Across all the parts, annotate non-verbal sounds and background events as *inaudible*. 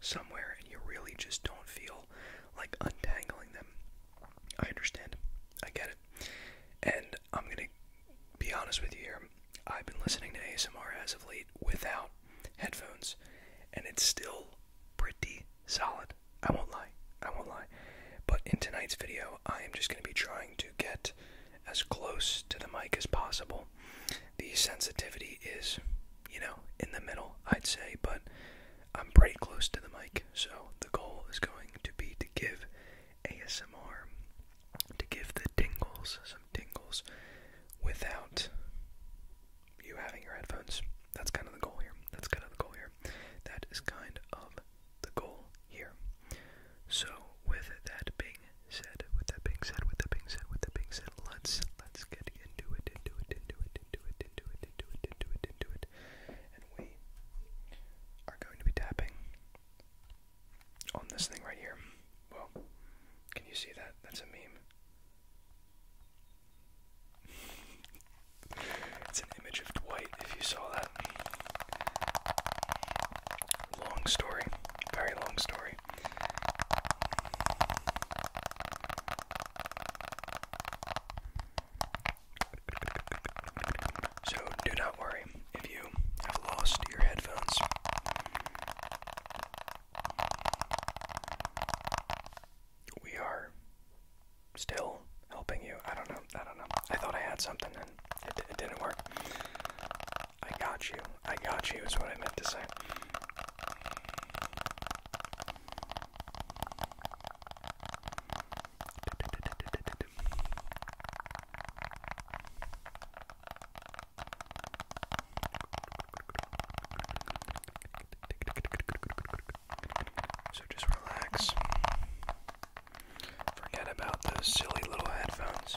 somewhere and you really just don't feel like untangling them. I understand. I get it. And I'm going to be honest with you here. I've been listening to ASMR as of late without headphones, and it's still pretty solid. I won't lie. I won't lie. But in tonight's video, I am just going to be trying to get as close to the mic as possible. The sensitivity is you know, in the middle, I'd say, but I'm pretty close to the mic. So the goal is going to be to give ASMR, to give the tingles, some tingles, without you having your headphones. That's kind of the goal here. That's kind of the goal here. That is kind of the goal here. So, with that being being said, with that being said, with that being said, with that being said, let's let's get into it, into it, into it, into it, into it, into it, into it, into it. And we are going to be tapping on this thing right here. Well, can you see that? That's a meme. *laughs* It's an image of Dwight, if you saw that. Long story. Very long story. So, do not worry if you have lost your headphones. We are still helping you. I don't know. I don't know. I thought I had something and it, didn't work. I got you. I got you, is what I meant to say. So just relax. Forget about those silly little headphones.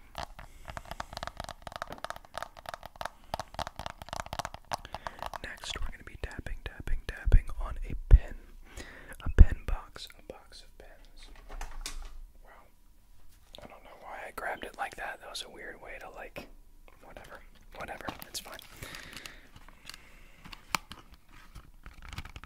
Next, we're going to be tapping, tapping, tapping on a pen. A pen box. A box of pens. I don't know why I grabbed it like that. That was a weird way to, like, whatever. Whatever. It's fine.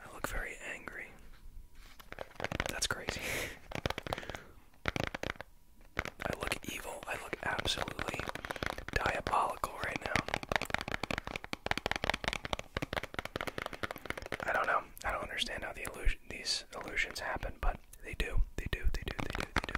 I look very angry. That's crazy. I look evil. I look absolutely diabolical right now. I don't know. I don't understand how the illusion these illusions happen, but they do. They do. They do. They do.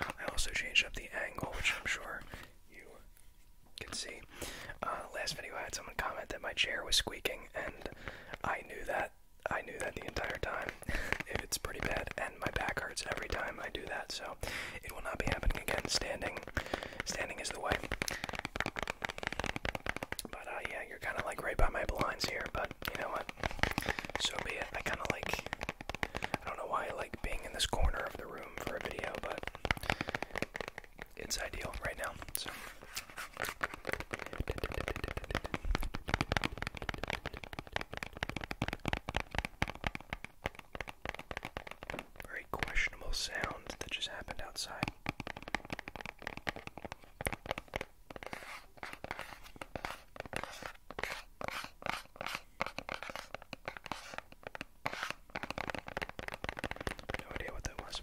I also changed up the angle, which I'm sure you can see. Uh, last video, I had someone comment that my chair was squeaking, and I knew that I knew that the entire time. it's pretty bad, and my back hurts every time I do that, so it will not be happening again. Standing, standing is the way. But uh, yeah, you're kind of like right by my blinds here. But you know what? So be it. I kind of like. I don't know why I like being in this corner of the room for a video, but it's ideal right now. So very questionable sound that just happened outside. No idea what that was.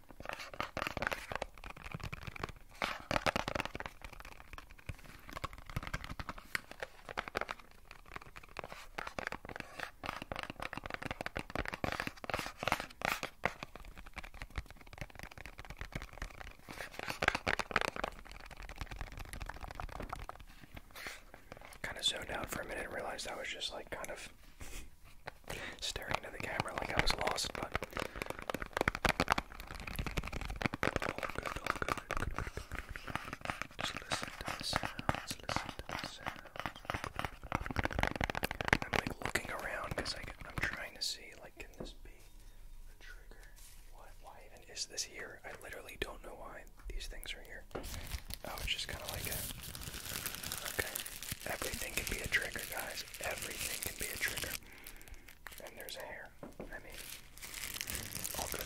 Kind of zoned out for a minute and realized I was just like kind of *laughs* staring into the camera like I was lost, but Just listen to the sounds, I'm like looking around because I'm trying to see like can this be a trigger? Why even is this here? I literally don't know why these things are here. Oh, it's just kind of like Okay, Everything can be a trigger, guys. Everything can be a trigger. And there's a hair. I mean, all good.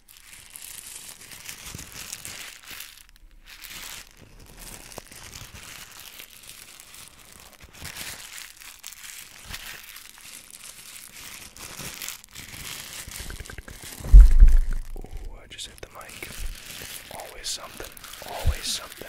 Ooh, I just hit the mic. Always something. Always something.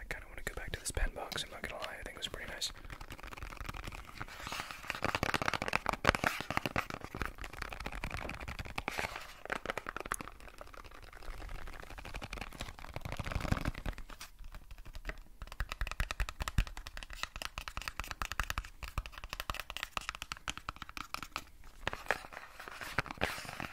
I kind of want to go back to this pen box, I'm not gonna lie, I think it was pretty nice.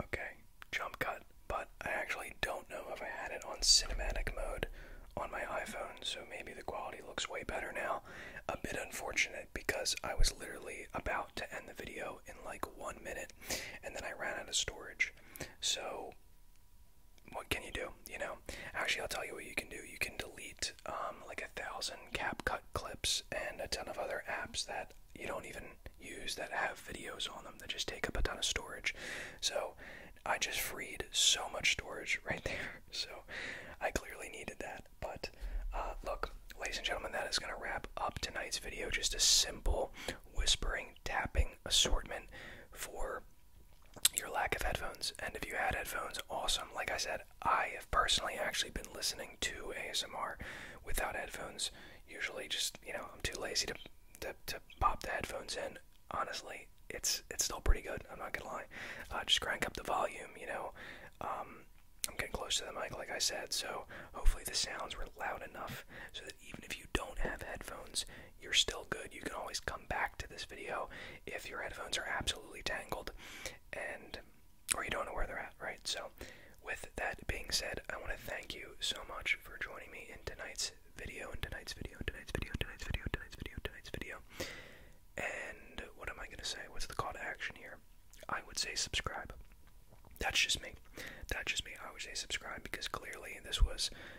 Okay, jump cut, but I actually don't know if I had it on cinematic mode on my iPhone, so maybe the quality looks way better now. A bit unfortunate because I was literally about to end the video in like one minute and then I ran out of storage. So what can you do? You know, actually, I'll tell you what you can do. You can delete um, like a thousand CapCut clips and a ton of other apps that you don't even use that have videos on them that just take up a ton of storage. So I just freed so much storage *laughs* right there. So I clearly needed that. But uh, look, ladies and gentlemen, that is going to wrap up tonight's video. Just a simple whispering tapping assortment for your lack of headphones. And if you had headphones, awesome. Like I said, I have personally actually been listening to ASMR without headphones. Usually, just you know, I'm too lazy to to, pop the headphones in. Honestly, it's it's still pretty good. I'm not gonna lie. Uh, just crank up the volume. You know, um, I'm getting close to the mic, like I said. So hopefully the sounds were loud enough so that even if you don't have headphones, you're still good. You can always come back to this video if your headphones are absolutely tangled and or you don't know where they're at, right? So with that being said, I want to thank you so much for joining me in tonight's video, in tonight's video, in tonight's video, in tonight's video, in tonight's video, in tonight's video. And what am I gonna say? What's the call to action here? I would say subscribe. That's just me. That's just me. I would say subscribe because clearly this was